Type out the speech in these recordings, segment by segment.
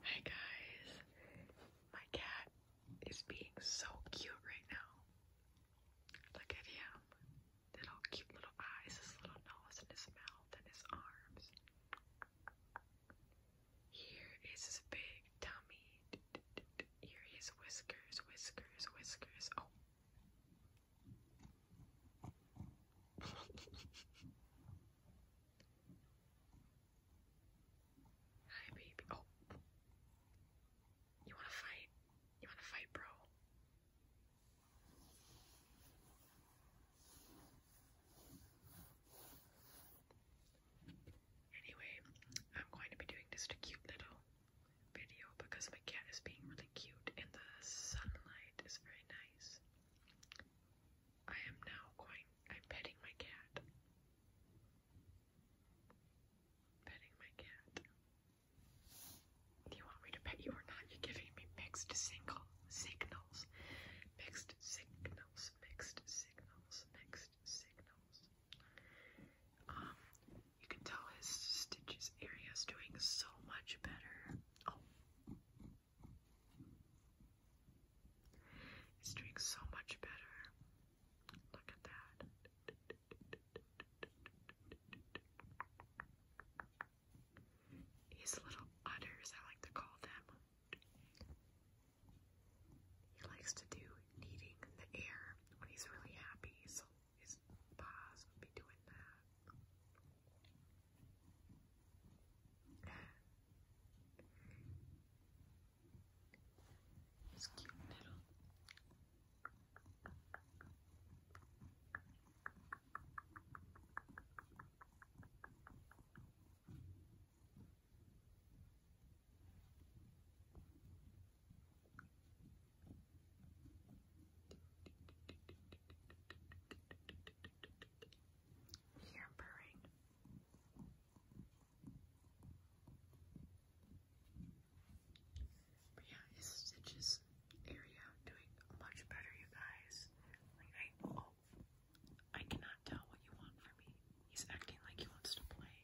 Hi guys, my cat is being so cute right now. Look at him, little cute little eyes, his little nose, and his mouth, and his arms. Here is his big tummy. Here his whiskers, whiskers, whiskers. Oh. Hi, baby. Oh. You wanna fight? You wanna fight, bro? Anyway, I'm going to be doing just a cute little video because my cat is being really cute and the sunlight is very nice. I am now going, I'm petting my cat. Petting my cat. Do you want me to pet you or not? You're giving me mixed single signals. Mixed signals, mixed signals, mixed signals. Um, you can tell his stitches area is doing so much better. Oh, it's doing so much better. Look at that. His little udders, I like to call them. He likes to do kneading the air when he's really happy, so his paws would be doing that. It's cute little. You purring. But yeah, is Stitch's area doing much better, you guys? I oh, cannot tell what you want from me. He's acting like he wants to play.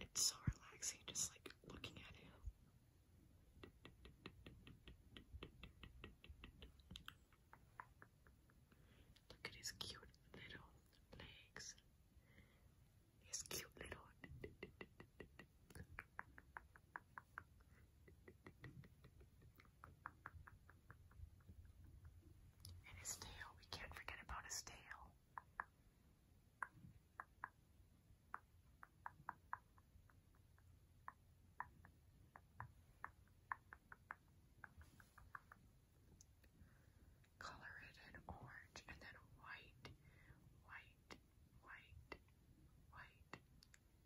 It's so relaxing just like looking at him. Look at his cute little legs. His cute little his tail, we can't forget about his tail. Color it in orange and then white, white, white, white,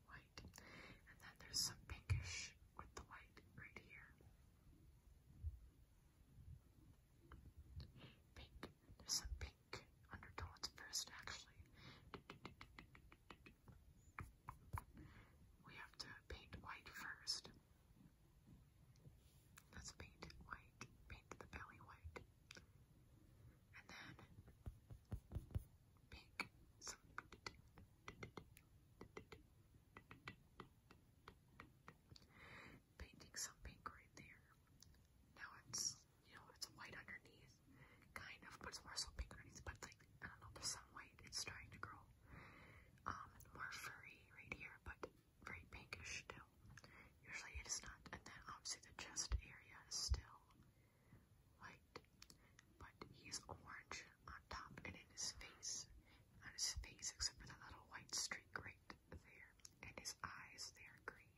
white. And then there's some pinkish with the white right here. Pink. There's some pink undertones first, actually. We have to paint white first. Let's paint white. Paint the belly white and then pink. Some painting some pink right there. Now it's you know it's white underneath, kind of, but it's more so pink underneath. But it's like I don't know, there's some white. It's starting to grow um more furry right here, but very pinkish still. Usually it is not. And then obviously the chest area is still white, but he's orange on top and in his face, on his face except for that little white streak right there, and his eyes they are green,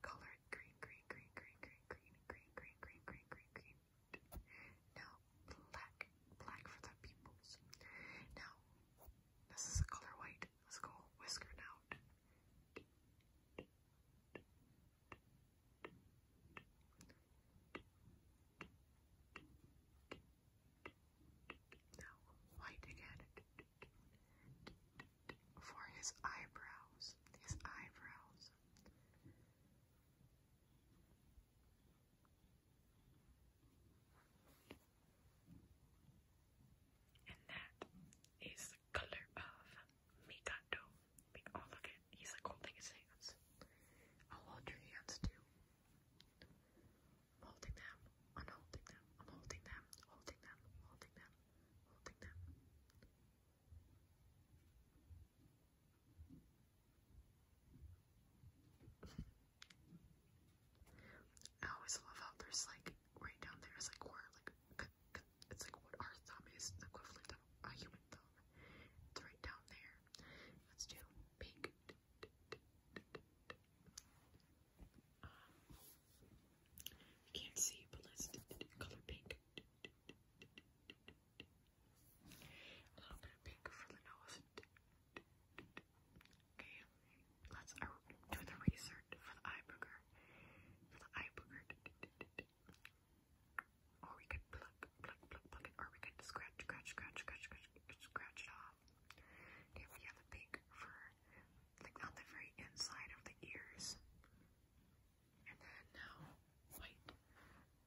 colored green, green, green, green, green, green, green, green, green, green, green, green. Now black, black for the pupils. Now this is a color white. Let's go whisker out. Now, white again for his eyebrows, his eyebrows. And that is the color of Mikado. Oh, look at He's like holding his hands. I'll hold your hands too. holding them. I'm holding them. I'm holding them. Holding them. Holding them. Holding them. I always love how there's like right down there is like where like it's like what our thumb is the equivalent of a human thumb. right down there. Let's do pink. you can't see, but let's color pink. A little bit of pink for the nose. Okay, let's uh, do the research for the eye For the eye Or we could pluck, pluck, pluck, it, or we could scratch, scratch, scratch, scratch, scratch, it off. If you have a pink fur, like on the very inside of the ears. And then now, white,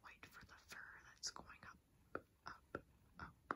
white for the fur that's going up, up, up,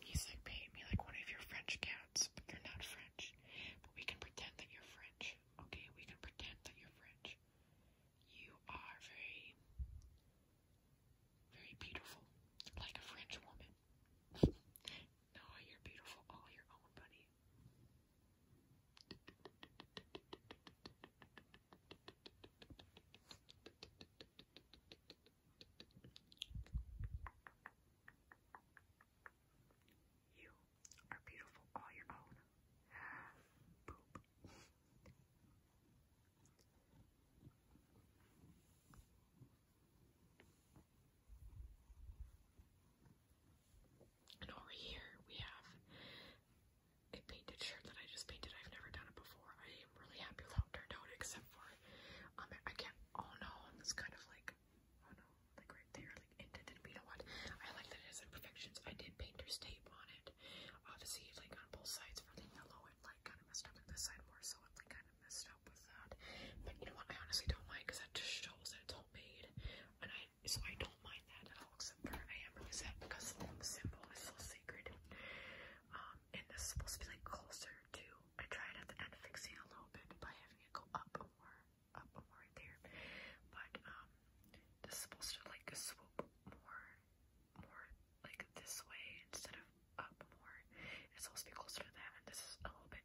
He's like, paint me like one of your French cats, but you're not French. But we can pretend that you're French, okay? We can pretend that you're French. You are very, very beautiful, like a French woman. no, you're beautiful all your own, buddy. You are beautiful all your own. And over here we have a painted shirt that I just painted. I've never done it before. I am really happy with how it turned out, except for um I can't oh no, it's kind of like oh no, like right there, like indented. But you know what? I like that it has imperfections. I did painter's tape on it. Obviously like on both sides for the yellow and like kinda messed up on this side more, so it kind of messed up with that. But you know what I honestly don't mind because that just shows that it's homemade. And I so I don't mind that at all, except for I am really sad because the symbol is so sacred. Um, and this is supposed to be like closer to, I tried at the end fixing a little bit by having it go up more, up more right there. But um, this is supposed to like swoop more, more like this way instead of up more. It's supposed to be closer to that, and this is a little bit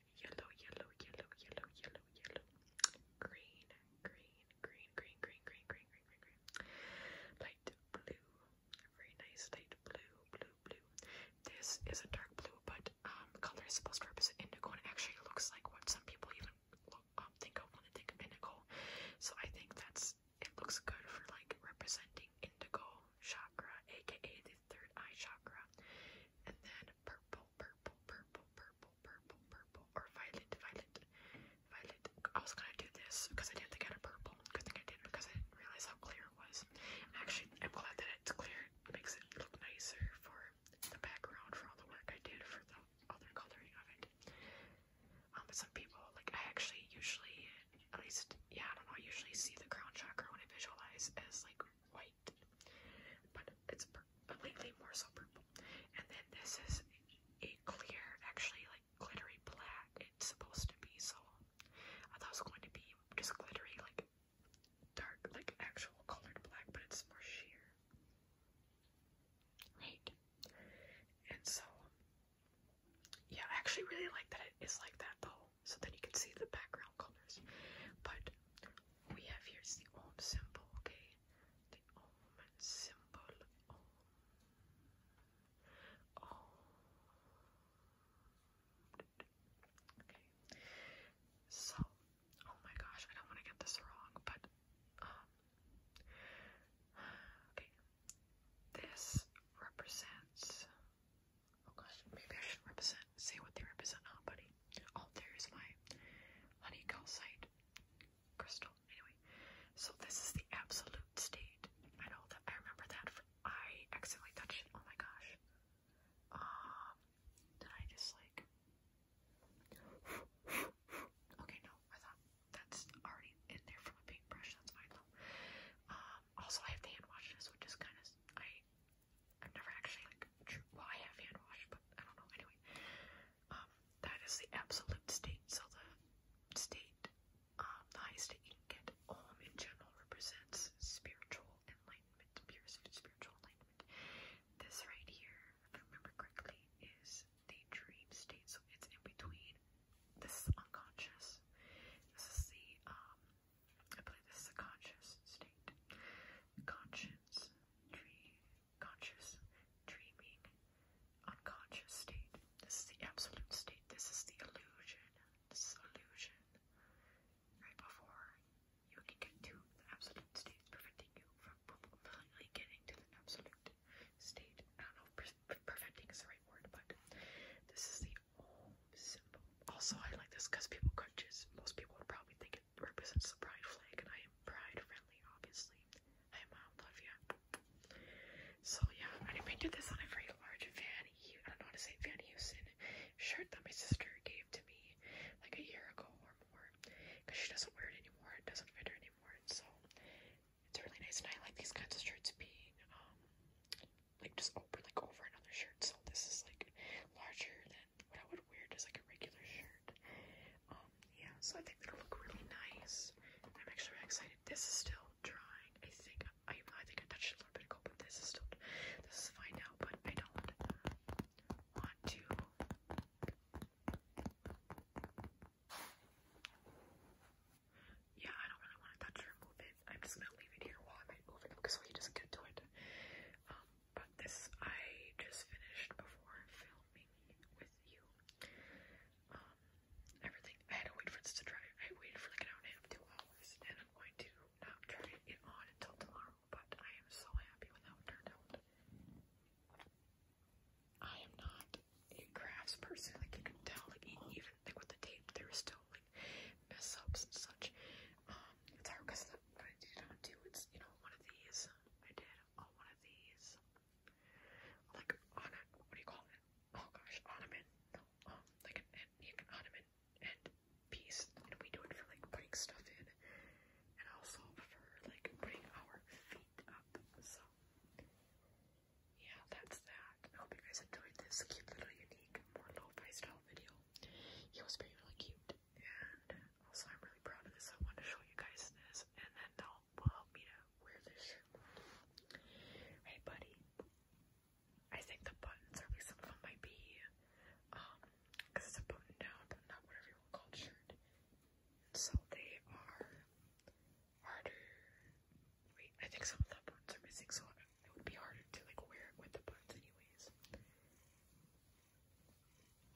yellow, yellow, yellow, yellow, yellow, yellow, green, green, green, green, green, green, green, green, green, green, light blue, very nice light blue, blue, blue. This is a dark blue, but um, color is supposed to represent indigo, and actually looks like what some people even look, um, think of when they think of indigo. So I think that's it looks good for like representing indigo chakra, aka his third eye chakra. And then purple, purple, purple, purple, purple, purple, or violet, violet, violet. I was gonna do this because I didn't think I had a purple. Good thing I did because I didn't realize how clear it was. Actually, I'm glad that it's clear. It makes it look nicer for the background for all the work I did for the other coloring of it. Um, but some people, like I actually usually, at least, yeah, I don't know, I usually see the crown chakra when I visualize as like white, but it's but lately more so purple. And then this is a clear, actually like glittery black. It's supposed to be so. I thought it was going to be just glittery, like dark, like actual colored black, but it's more sheer, right? And so, yeah, I actually really like that it is like that though so then you can see the background colors. But we have here is the Om symbol, okay? The Om symbol. Okay. So, oh my gosh, I don't want to get this wrong, but um okay. This represents Oh gosh, maybe I should represent, say what they represent now, buddy. Oh, there's my honey calcite crystal. Anyway, so this is the absolute state. I know that I remember that. For, I accidentally touched it. Oh my gosh. Um, did I just like? okay, no, I thought that's already in there from a paintbrush. That's fine though. Um, also I have to hand wash this, which is kind of I I've never actually like well I have hand wash, but I don't know anyway. Um, that is the absolute state, so the state, um, the highest you can get. Om in general represents spiritual enlightenment, pure spiritual enlightenment. This right here, if I remember correctly, is the dream state, so it's in between. This is unconscious. This is the um I believe this is a conscious state. Conscience, dream, conscious, dreaming, unconscious state. This is the absolute state. This is the illusion. This illusion. Right before you can get to the absolute state, preventing you from willingly getting to the absolute state. I don't know if preventing is the right word, but this is the also, I like this because people could most people would probably think it represents the pride flag, and I am pride friendly, obviously. Hi, mom, love you. So, yeah, I painted this on a very large Van, H I don't know how to say Van Heusen shirt that my sister gave to me like a year ago or more because she doesn't wear it anymore, it doesn't fit her anymore. So, it's really nice, and I like these kinds of shirts being um like just open like over another shirt. So this is like larger than what I would wear just like a regular shirt. Um yeah, so I think it'll look really nice. I'm actually really excited. This is still drying. I think I I think I touched a little bit of ago, but this is still this is fine now, but I don't want to yeah, I don't really want to touch or move it. I'm just gonna leave it here while I am moving because so he doesn't get to it. Um, but this I just finished before filming with you. Um, everything I had to wait for this to dry. I waited for like an hour and a half, two hours, and I'm going to not try it on until tomorrow. But I am so happy with how it turned out. I am not a crafts person. Like you can tell, like even like with the tape, there was still like mess ups and such. Um, it's hard because what I did not do is you know one of these. I did on one of these, like on a what do you call it? Oh gosh, ottoman. No, um, like an, like an ottoman and piece, and we do it for like putting stuff in, and also for like putting our feet up. So yeah, that's that. I hope you guys enjoyed this cute little unique, more lo-fi style video. It was pretty really cute. And also I'm really proud of this. I wanted to show you guys this and then they'll will help me to wear this shirt. Hey buddy. I think the buttons, or at least some of them might be, um, because it's a button down, but not whatever you want called shirt. So they are harder. Wait, I think some of the buttons are missing, so it would be harder to like wear it with the buttons, anyways.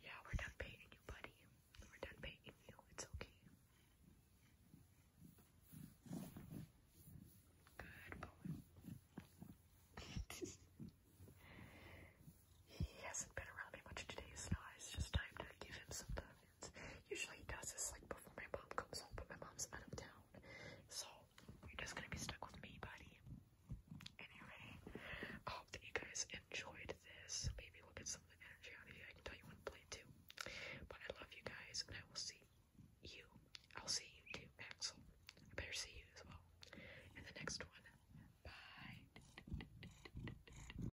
Yeah, we're done painting you, buddy. We're done painting you. It's okay. Good boy. he hasn't been around me much today, so now it's just time to give him some time lines. Usually he does this like before my mom comes home, but my mom's out of town. So you're just gonna be stuck with me, buddy. Anyway, I hope that you guys enjoyed this. Maybe we'll get some of the energy out of you. I can tell you want to play too. But I love you guys and I will see you. I'll see you too, Axel. I better see you as well. In the next one. Bye.